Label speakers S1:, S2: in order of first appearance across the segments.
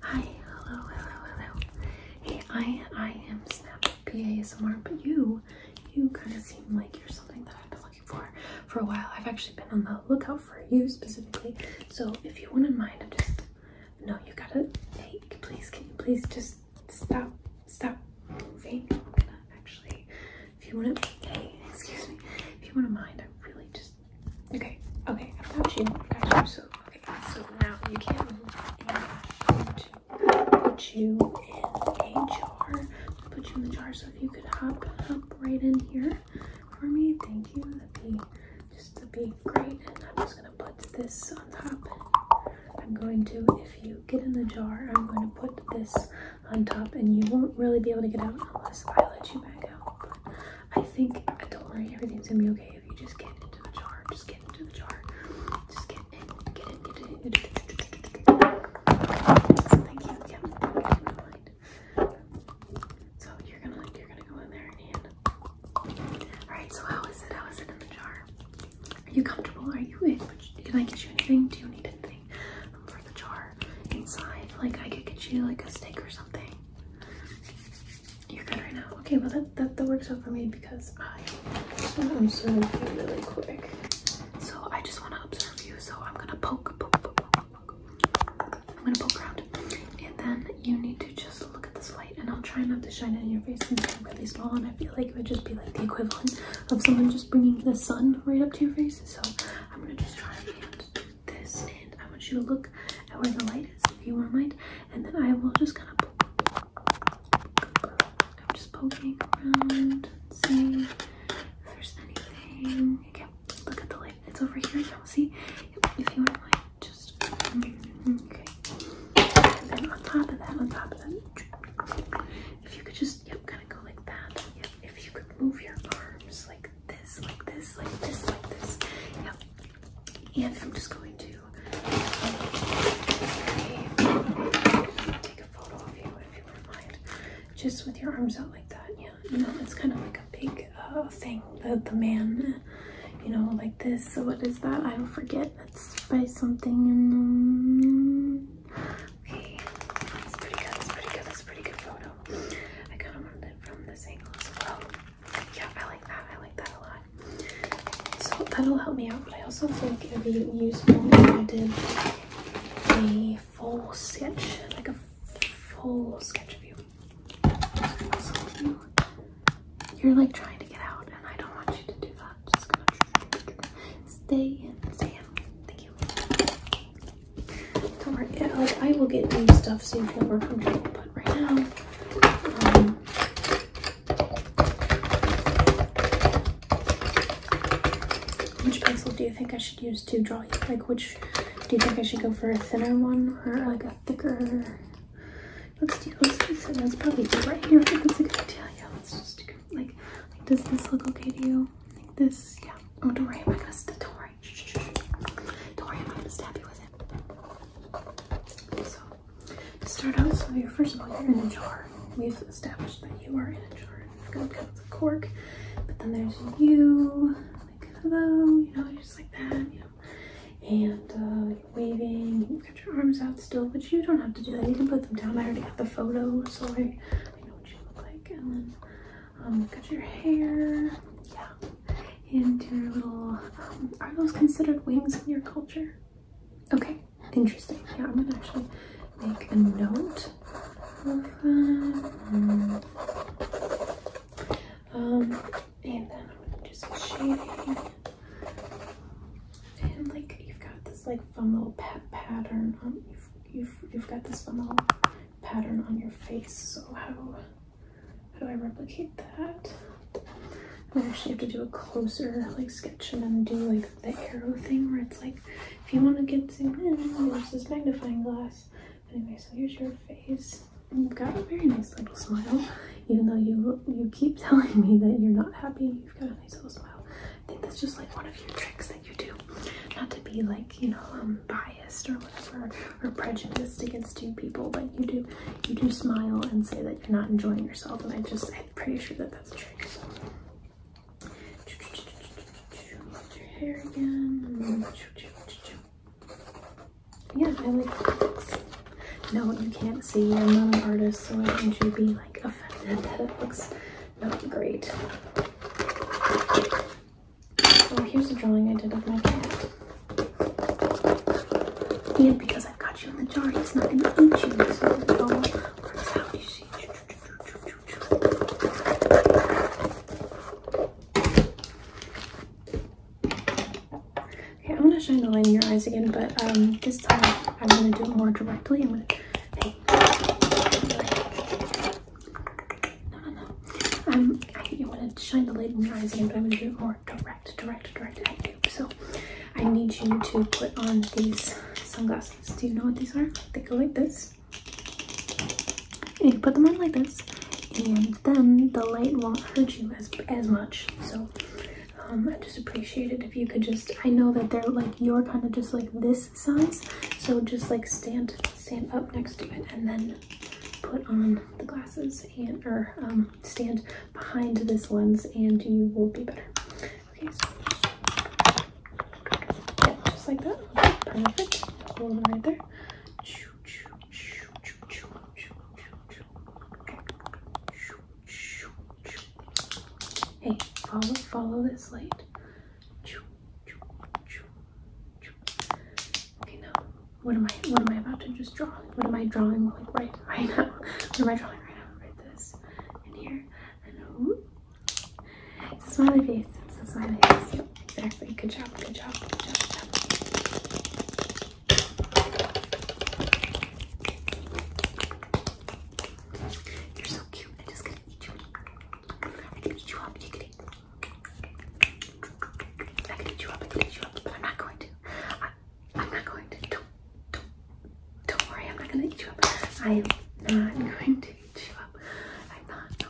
S1: Hi, hello, hello, hello. Hey, I I am Snap PA somewhere, but you you kind of seem like you're something that I've been looking for for a while. I've actually been on the lookout for you specifically. So if you wouldn't mind, I'm just no, you gotta hey, please can you please just stop stop moving. I'm gonna actually if you wouldn't hey, excuse me, if you wouldn't mind, I am really just okay. Okay, I've got you. I've got you. So okay. So now you can put you in a jar. Put you in the jar. So if you could hop, up right in here for me. Thank you. That'd be just to be great. And I'm just gonna put this on top. I'm going to, if you get in the jar, I'm going to put this on top, and you won't really be able to get out unless I let you back out. I think, don't worry, everything's gonna be okay if you just get into the jar. Just get into the jar. Just get in, get in, get in. Get in. So thank you. Yeah, mind. So you're gonna like, you're gonna go in there and. All right. So how is it? How is it in the jar? Are you comfortable? Are you in? Can I get you anything? Do you need anything um, for the jar inside? Like I could get you like a steak or something. You're good right now. Okay, well that, that, works out for me because I just want really quick. So I just want to observe you. So I'm gonna poke, poke, poke, poke, poke. I'm gonna poke around, and then you need to just look at this light, and I'll try not to shine it in your face since I'm really small, and I feel like it would just be like the equivalent of someone just bringing the sun right up to your face. So I'm gonna just try and this and I want you to look at where the light is, if you won't mind. And then I will just kind of I'm just poking around, seeing if there's anything. Again, look at the light. It's over here don't See? if you wouldn't mind, just okay. And then on top of that, on top of that, if you could just yep, kind of go like that. Yep, if you could move your arms like this, like this, like this, like this. Yeah. And I'm just going to take a photo of you if you wouldn't mind. Just with your arms out like that, yeah. You know, it's kind of like a big uh, thing. The the man, you know, like this. So what is that? I will forget. That's by something in. Um, okay, that's pretty good. That's pretty good. That's pretty good photo. I kind of wanted it from this angle as well. Yeah, I like that. I like that a lot. So that'll help me out, but I also think it'd be useful if I did a full sketch, like a full sketch of you. you are like trying to get out, and I don't want you to do that. Just going stay in, stay in. Thank you cover it. Like I will get new stuff so you feel more comfortable, but right now, um, which pencil do you think I should use to draw you? Like which do you think I should go for a thinner one or uh, like a thicker? Let's do let's do thin. That's probably right here. I think that's a good idea. Yeah, let's just do, like like does this look okay to you? Like this? Yeah. Oh, don't worry. I'm not gonna. Don't worry i am going to do not worry don't worry, I'm not gonna stab you with it. So, to start out, so you first of all, you're in a jar. We've established that you are in a jar. I've got kind the cork, but then there's you, like hello, you know, just like that, you know. And uh, waving, you've got your arms out still, but you don't have to do that. You can put them down. I already got the photo, so I, I know what you look like. And then um, cut your hair, yeah, into your little, um, are those considered wings in your culture? Okay, interesting. Yeah, I'm gonna actually make a note of Um, um, and then I'm gonna do some shading. And like, you've got this like fun little pat pattern. Um, you've, you've, you've got this fun little pattern on your face. So how, how do I replicate that? I actually have to do a closer like sketch and then do like the arrow thing where it's like, if you want to get zoomed in, use this magnifying glass. Anyway, so here's your face. You've got a very nice little smile, even though you you keep telling me that you're not happy. You've got a nice little smile. I think that's just like one of your tricks you do. Not to be like, you know, um, biased or whatever or prejudiced against two people, but you do you do smile and say that you're not enjoying yourself, and I just I'm pretty sure that that's true. So. Your hair again. Yeah, I like looks. No, you can't see. I'm not an artist, so I don't you be like offended that it looks not great. Oh, here's a drawing I did of my cat. And because I've got you in the jar, he's not going to eat you, Okay, I'm going to shine the light in your eyes again, but um, this time I'm going to do it more directly. No, no, no. Um, I think you want to shine the light in your eyes again, but I'm going to do it more direct, direct, direct So I need you to put on these sunglasses. Do you know what these are? They go like this. And you put them on like this, and then the light won't hurt you as, as much. So um, I just appreciate it if you could just, I know that they're like, you're kind of just like this size, so just like stand stand up next to it and then put on the glasses and or um, stand behind this lens and you will be better. Okay, just like that. perfect. Hold it right there. Hey, follow follow this light. Okay, now what am I? What am I about to just draw? What am I drawing like right right now? What am I drawing right now? Right this in here and whoop. It's a smiley face. It's a smiley face. Yep, exactly. Good job. Good job. Good job. You're so cute. I just gotta eat you. I can eat you up. You can eat. I eat you up. I can eat you up, but I'm not going to. I, I'm not going to. Don't, don't, worry. I'm not going to eat you up. I am not going to eat you up. I'm not.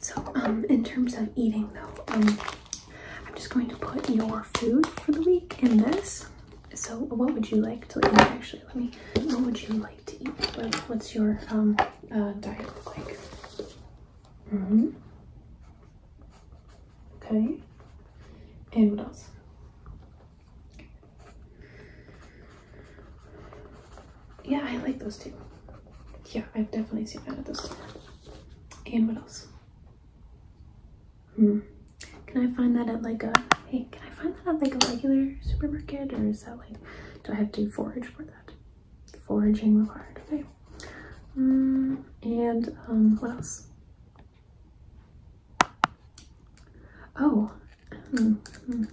S1: So, um, in terms of eating though, um, I'm just going to put your food for the week in this so what would you like to eat? Actually, let me, what would you like to eat? What, what's your um, uh, diet look like? Mm-hmm. Okay. And what else? Yeah, I like those two. Yeah, I've definitely seen that at this And what else? Hmm. Can I find that at like a, hey, can I find that at like a regular supermarket or is that like, do I have to forage for that? Foraging required, okay. Mm, and um, what else? Oh, mm, mm.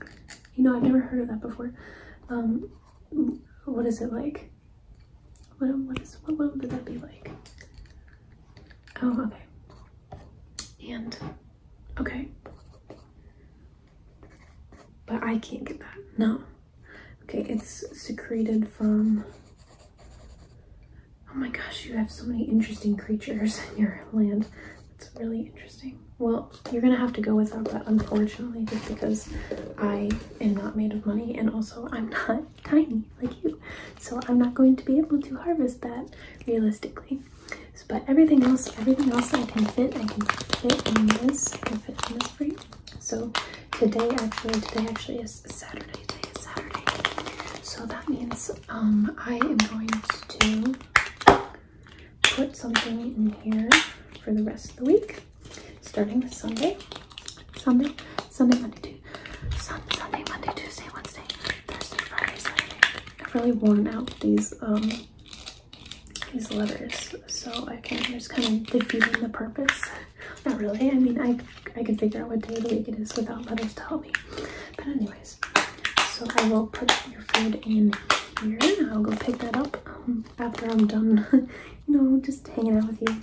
S1: you know, I've never heard of that before. Um, what is it like? What, what is, what would that be like? Oh, okay. And okay. But I can't get that. No. Okay, it's secreted from Oh my gosh, you have so many interesting creatures in your land. It's really interesting. Well, you're gonna have to go without that, unfortunately, just because I am not made of money and also I'm not tiny like you. So I'm not going to be able to harvest that realistically. But everything else, everything else I can fit, I can fit in this, I can fit in this for So today actually, today actually is Saturday, today is Saturday. So that means um, I am going to put something in here for the rest of the week, starting with Sunday, Sunday, Sunday, Monday, Tuesday. Sunday, Monday, Tuesday, Wednesday, Thursday, Friday, Saturday. I've really worn out these um these letters, so I can just kind of defeating the purpose. Not really. I mean, I I can figure out what day of the week it is without letters to help me. But anyways, so I will put your food in here. and I'll go pick that up um, after I'm done. you know, just hanging out with you.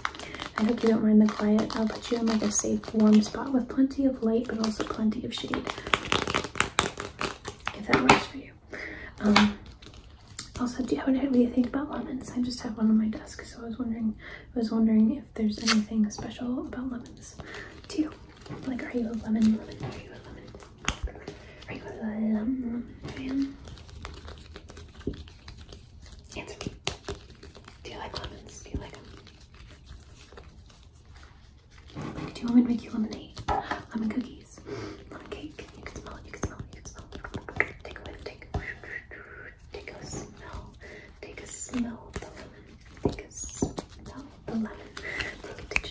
S1: I hope you don't mind the quiet put you in like a safe warm spot with plenty of light but also plenty of shade if that works for you um, also do you have what do you think about lemons i just have one on my desk so i was wondering i was wondering if there's anything special about lemons to you like are you a lemon lemon are you a lemon are you a lemon fan answer me do you like lemons do you like them do you want me to make you lemonade? Lemon cookies? Lemon cake? You can smell it, you can smell it, you can smell it. Take a whiff, take Take a smell. Take a smell of the lemon. Take a smell of the lemon. Take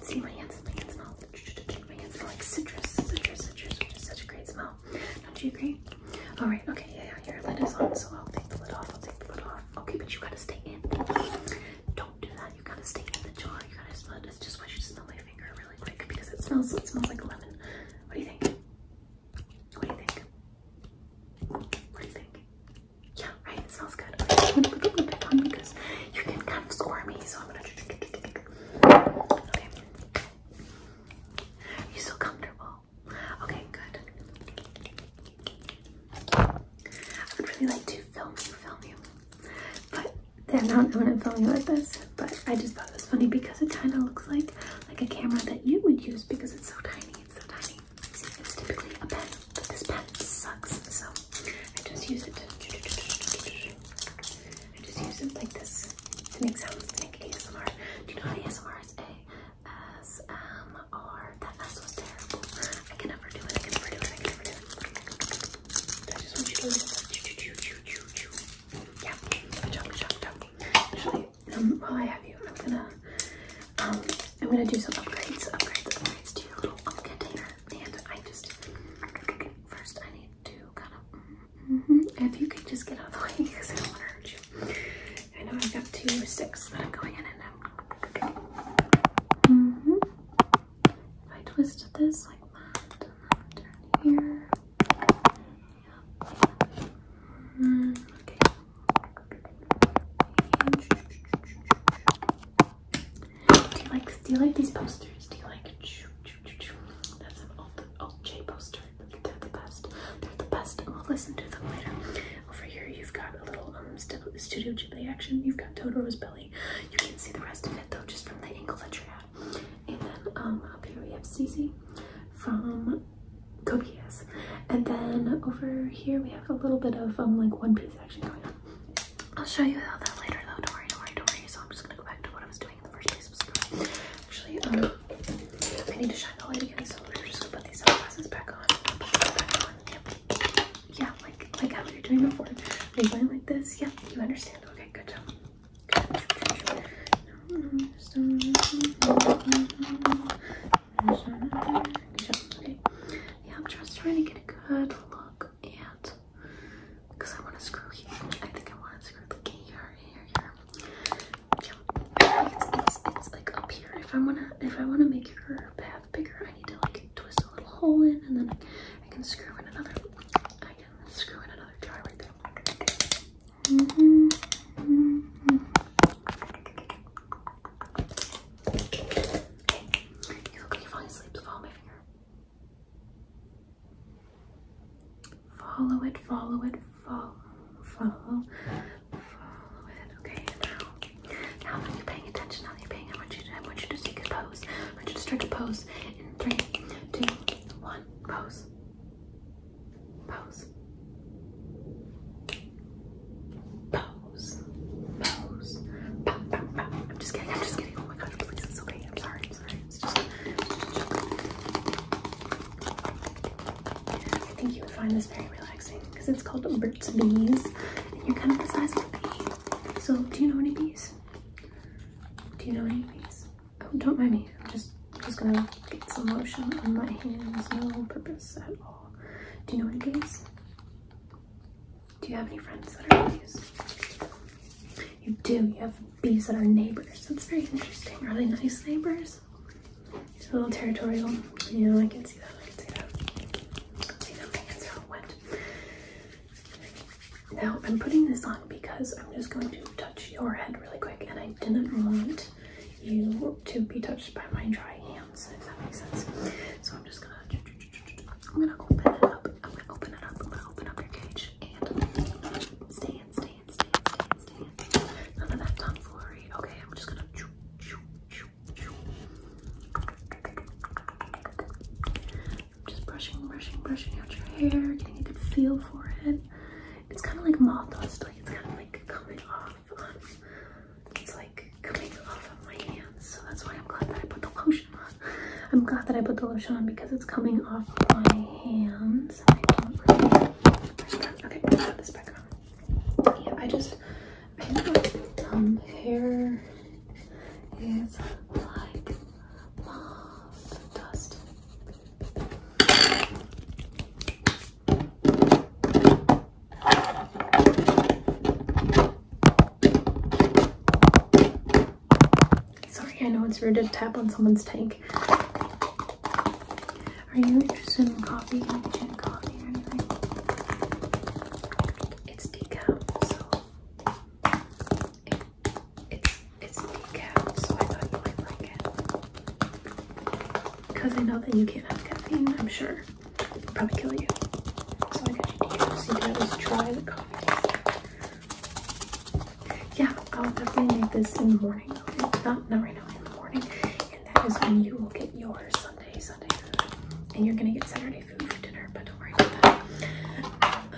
S1: a See my hands, my hands smell. My hands smell like citrus, citrus, citrus, which is such a great smell. Don't you agree? All right. Okay. Yeah. yeah your lid is on, so I'll take the lid off. I'll take the lid off. Okay, but you gotta stay in. Don't do that. You gotta stay in the jar. You gotta smell. It. It's just why you smell my finger really quick because it smells. It smells like lemon. What do you think? What do you think? What do you think? Yeah, right. It smells good. Okay, I'm gonna put the lid on because you can kind of squirm me. so I'm gonna. Okay. You are so comfortable? Okay, good. I would really like to film you, film you. But then I am not going to film you like this. But I just thought it was funny because it kind of looks like like a camera that you would use because it's so tiny. It's so tiny. it's typically a pen, but this pen sucks. So I just use it. I just use it like this to make sounds, to make ASMR. Do you know ASMR is A-S-M-R? That S was terrible. I can never do it, I can never do it, I can never do it. I just want you to listen. Choo, Yeah, good job, good job, good job. Actually, um, while I have you, I'm gonna, um, I'm gonna do some upgrades, upgrades, upgrades to your little container. And I just, first I need to kind of, Mm-hmm. If you could just get out of the way because I don't want to hurt you. I know I've got two sticks but I'm going in and I'm... Mm-hmm. If I twisted this like that turn here. Mm-hmm. Okay. Do you like do you like these posters? Do you like that's an old old J poster? They're the best. They're the best. We'll listen to them later. Over here, you've got a little um, Studio Ghibli action. You've got Totoro's belly. You can see the rest of it though, just from the angle that you're at. And then um, up here we have Cece from Cookies. And then over here we have a little bit of um, like One Piece action going on. I'll show you all that later though. Don't worry, don't worry, don't worry. So I'm just gonna go back to what I was doing in the first place. Actually, um, I need to shine the light again, so we're just gonna put these sunglasses back on. Yeah, like like how you were doing before. Are going like this? Yeah, you understand. Okay, good job. Yeah, I'm just trying to get a good look at because I want to screw here. I think I want to screw the here, here, Yeah. It's, it's, it's like up here. If I wanna if I wanna make your path bigger, I need to like twist a little hole in and then I can screw in another I can screw in another jar right there. -hmm. Mm -hmm. Okay. You look like you're falling asleep, follow my finger. Follow it, follow it, follow, follow, follow it. Okay, now, now that you paying attention, now you're paying, I want you to, I want you to take a pose. I want you to strike a pose in three, two, one, pose, pose, pose, pose. I'm just kidding. I'm just kidding. Oh my god, please, it's okay. I'm sorry. I'm sorry. I think you would find this very relaxing because it's called Burt's Bees, and you're kind of the size of a bee. So, do you know any bees? Do you know any bees? Oh, don't mind me. I'm just I'm just gonna get some lotion on my hands. No purpose at all. Do you know any bees? Do you have any friends that are bees? You do. You have bees that are neighbors. That's very interesting. Really nice neighbors? He's a little territorial. You know, I can see that. I can see that. See that my hands are wet. Now I'm putting this on because I'm just going to touch your head really quick, and I didn't want you to be touched by my dry hands, if that makes sense. So I'm just gonna. I'm gonna open it up. I'm gonna open it up. I'm gonna open up your cage. Okay, I'm just Just brushing, brushing, brushing out your hair, getting a good feel for it. It's kind of like moth dust, like it's kind of like coming off. It's like coming off of my hands, so that's why I'm glad that I put the lotion. I'm glad that I put the lotion on because it's coming off my hands. Okay, put this back on. Yeah, I just, I know my hair is like dust. Sorry, I know it's rude to tap on someone's tank. Are you interested in coffee, like gin coffee or anything? It's decaf, so it's it's decaf, so I thought you might like it. Because I know that you can't have caffeine, I'm sure. probably kill you. So I got you decaf so you try the coffee. Yeah, I'll definitely make this in the morning. Okay? Not, not right now, in the morning. And that is when you will get your Sunday, Sunday food. And you're going to get Saturday food for dinner, but don't worry about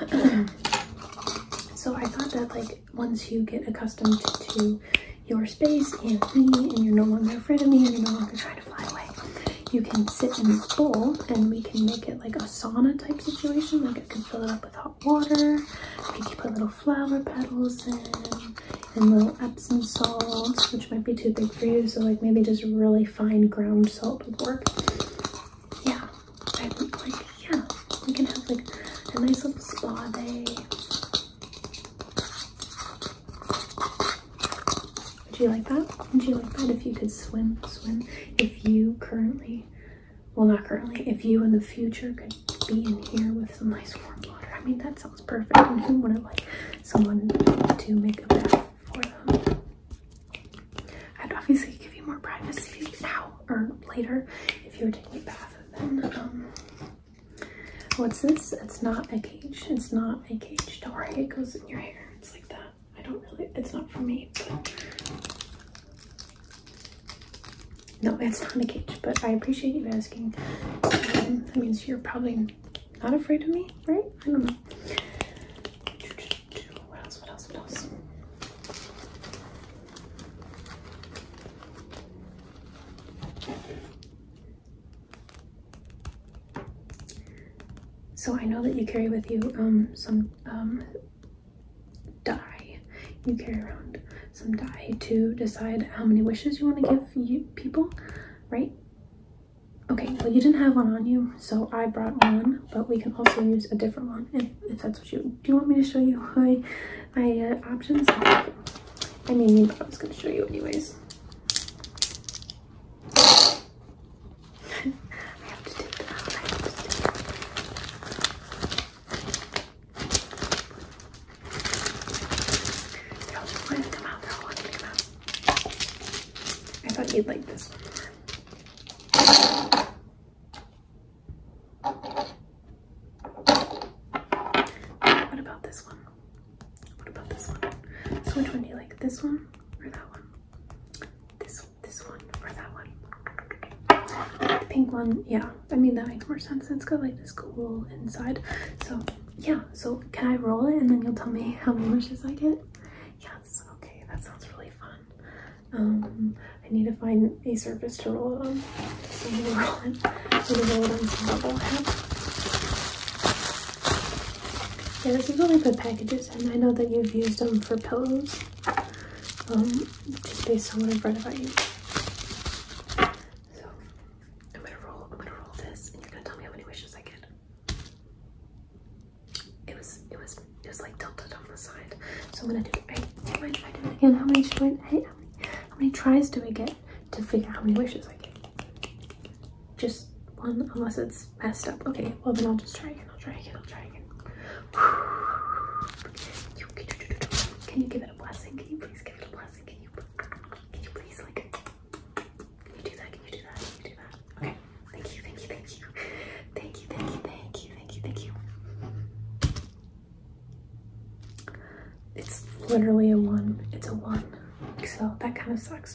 S1: that. so I thought that, like, once you get accustomed to your space and me, and you're no longer afraid of me, and you're no longer trying to fly away, you can sit in this bowl and we can make it like a sauna type situation, like you can fill it up with hot water. You can put little flower petals in and little Epsom salts, which might be too big for you. So like maybe just really fine ground salt would work. Yeah, I think like, yeah, we can have like a nice little spa day. Would you like that? Would you like that if you could swim, swim? If you currently well not currently if you in the future could be in here with some nice warm water i mean that sounds perfect and who wouldn't like someone to make a bath for them i'd obviously give you more privacy now or later if you were taking a bath then um what's this it's not a cage it's not a cage don't worry it goes in your hair it's like that I don't really, it's not for me, No, it's not a cage, but I appreciate you asking. Um, that means you're probably not afraid of me, right? I don't know. So I know that you carry with you um, some um, die. You carry around some die to decide how many wishes you want to give you people, right? Okay, well you didn't have one on you, so I brought one, but we can also use a different one if, that's what you do. You want me to show you my my uh, options? I mean, I was gonna show you anyways. I have to take them out. I have to take them out. I thought you'd like this one What about this one? What about this one? So which one do you like? This one or that one? This this one or that one. The Pink one, yeah. I mean that makes more sense. It's got like this cool inside. So yeah, so can I roll it and then you'll tell me how many wishes I get? Yes, okay, that sounds really fun. Um I need to find a surface to roll it on. So I'm it. I'm gonna roll it on some bubble yeah, this is really good packages, and I know that you've used them for pillows. just um, based on what I've read about you. So, I'm gonna roll. I'm gonna roll this, and you're gonna tell me how many wishes I get. It was, it was, it was like tilted on the side. So I'm gonna do. it again? How many tries do we get to figure out how many wishes I get? just one unless it's messed up. Okay, well then I'll just try again. I'll try again. I'll try again. Can you give it a blessing? Can you please give it a blessing? Can you can you please like can you do that? Can you do that? Can you do that? Okay. Thank you, thank you, thank you. Thank you, thank you, thank you, thank you, thank you. It's literally a one. It's a one. So that kind of sucks.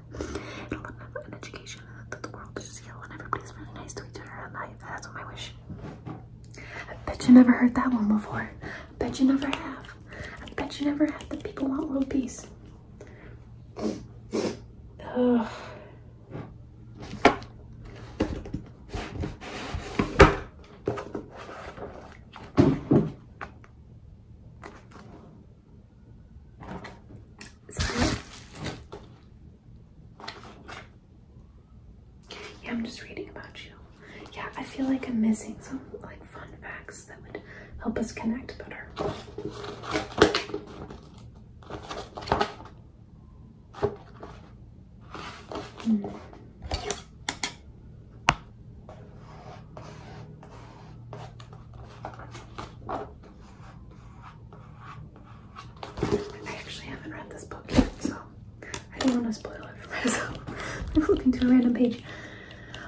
S1: whatever. And a little an education and that the world is just yellow and everybody's really nice to each other. And I, that's what my wish. I bet you never heard that one before. I bet you never have. I bet you never have that people want world peace. Yeah, I'm just reading about you. Yeah, I feel like I'm missing some like fun facts that would help us connect better. Hmm. I actually haven't read this book yet, so I don't want to spoil it for myself. I'm flipping to a random page.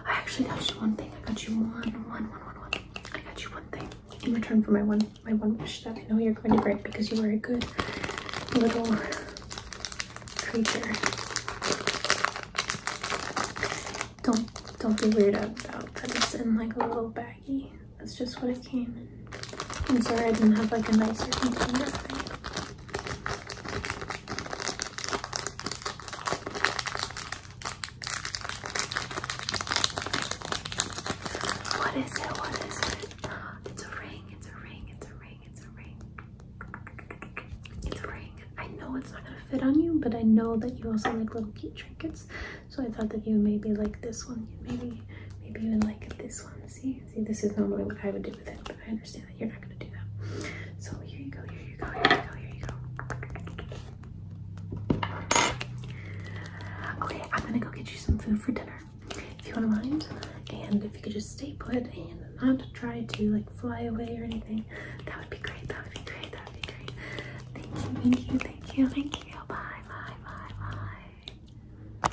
S1: I actually got you one thing. I got you one, one, one, one, one. I got you one thing in return for my one, my one wish that I know you're going to grant because you are a good little creature don't don't be weirded out about that it's in like a little baggie. That's just what it came in. I'm sorry I didn't have like a nicer container thing. What is it? What is it? It's a ring, it's a ring, it's a ring, it's a ring. It's a ring. I know it's not gonna fit on you, but I know that you also like little cute trinkets. So I thought that you maybe like this one. Maybe maybe even like this one. See? See, this is normally what I would do with it, but I understand that you're not gonna do that. So here you go, here you go, here you go, here you go. Okay, I'm gonna go get you some food for dinner. If you wanna mind. And if you could just stay put and not try to like fly away or anything that would be great. That would be great. That would be great. Thank you. Thank you. Thank you. Thank you. Bye. Bye. Bye. Bye.